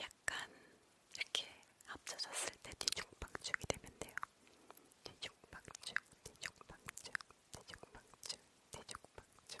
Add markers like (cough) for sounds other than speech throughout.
약간 이렇게 합쳐졌을 때 뒤죽박죽이 되면 돼요. 뒤죽박죽, 뒤죽박죽, 뒤죽박죽, 뒤죽박죽.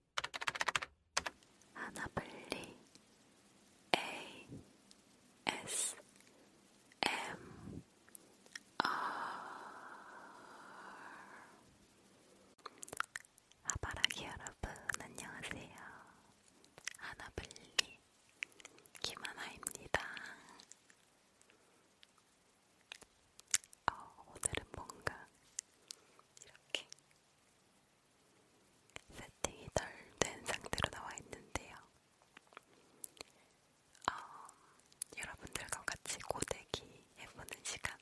하나블리 A S M R 아바라기 여러분 안녕하세요. 하나블리 김하나입니다. 어, 오늘은 뭔가 이렇게 세팅이 덜 된 상태로 나와 있는데요. 어, 여러분들과 같이 고데기 해보는 시간,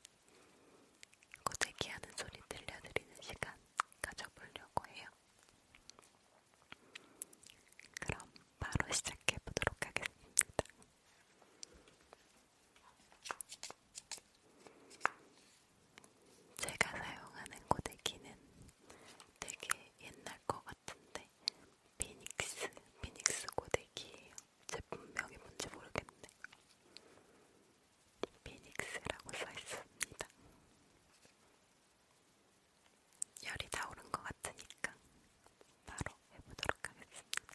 고데기 하는 소리 들려드리는 시간 가져보려고 해요. 그럼 바로 시작해 보도록 하겠습니다. 제가 사용하는 고데기는 되게 옛날 것 같은데 피닉스, 피닉스 고데기예요. 제품명이 뭔지 모르겠네. 피닉스라고 써있습니다. 열이 다 오른 것 같으니까 바로 해보도록 하겠습니다.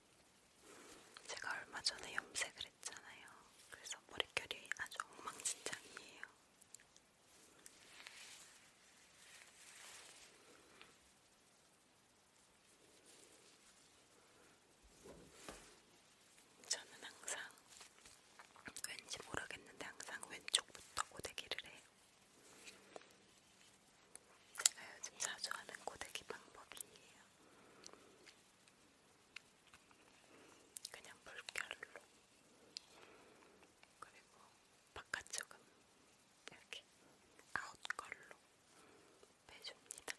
제가 얼마 전에 염색을 했잖아요. 그래서 머릿결이 아주 엉망진창이에요. 저는 항상 왠지 모르겠는데 항상 왼쪽부터 고데기를 해요. 요즘 네, 자주 하는 고데기 방법이에요. 그냥 물결로 그리고 바깥쪽은 이렇게 아웃걸로 빼줍니다.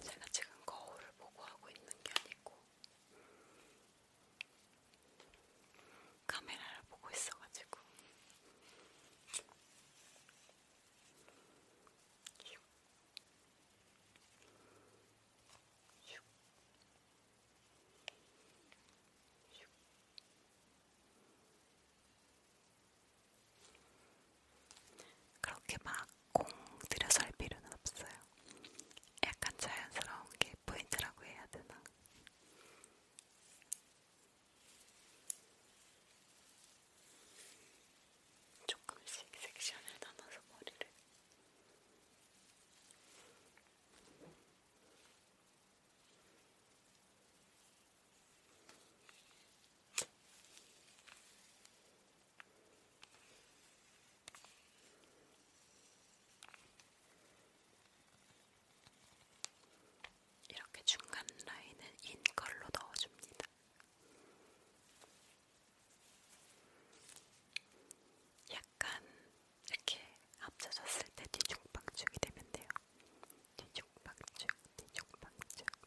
제가 지금 거울을 보고 하고 있는 게 아니고 카메라를 보고 있어가지고 슉. 슉. 슉. 그렇게 막 공 들여서 할 필요는 없어요. 약간 자연스러운 게 포인트라고 해야 되나? 조금씩 섹션을 나눠서 머리를 이렇게 중간 라인은 인 걸로 넣어줍니다. 약간 이렇게 합쳐졌을 때 뒤죽박죽이 되면 돼요. 뒤죽박죽, 뒤죽박죽,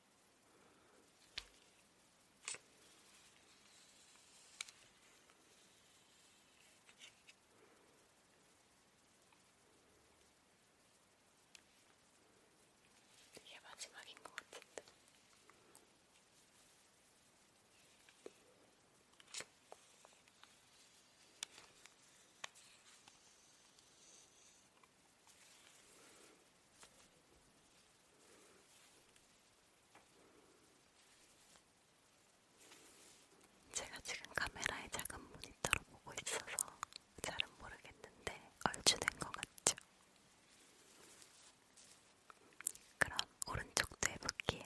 이게 마지막인 것 같은데. 제가 지금 카메라에 작은 모니터로 보고 있어서 잘은 모르겠는데 얼추 된 것 같죠? 그럼 오른쪽도 해볼게요.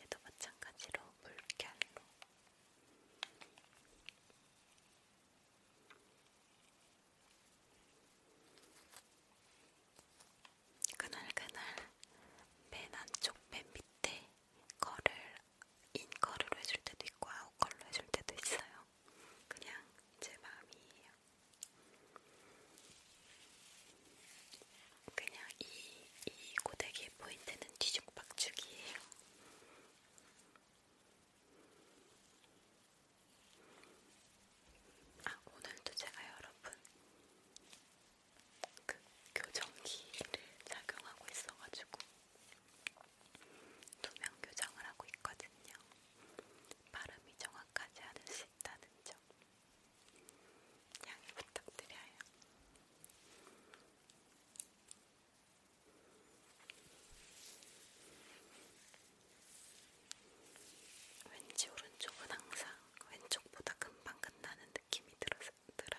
얘도 마찬가지로 물결로 그날그날 맨 안쪽 맨 밑에 거를 인거를 해줄 때도 있고 아웃걸로 해줄 때도 있어요. 그냥 제 마음이에요. 그냥 이, 이 고데기의 포인트는 뒤죽박죽이에요. 아, 오늘도 제가 여러분 그 교정기를 착용하고 있어가지고 투명 교정을 하고 있거든요. 발음이 정확하지 않으신 있다는 점 양해 부탁드려요. 왠지 오른쪽은 항상 왼쪽보다 금방 끝나는 느낌이 들어서, 들어요.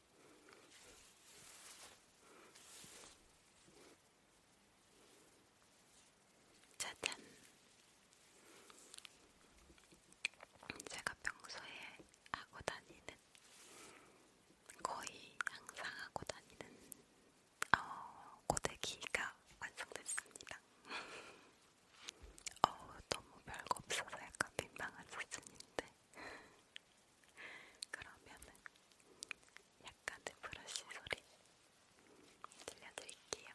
짜잔. 제가 평소에 하고 다니는 거의 항상 하고 다니는 어, 고데기가 완성됐습니다. (laughs) 어 너무 별거 없어서 약간 민망한 사진인데 그러면은 약간의 브러쉬 소리 들려드릴게요.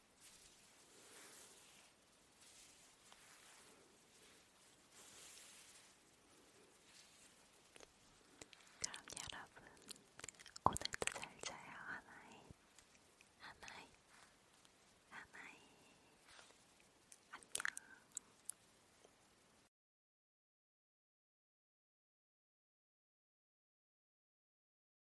그럼 여러분, 오늘도 잘 자요, 하나이. 하나이. 하나이. 안녕.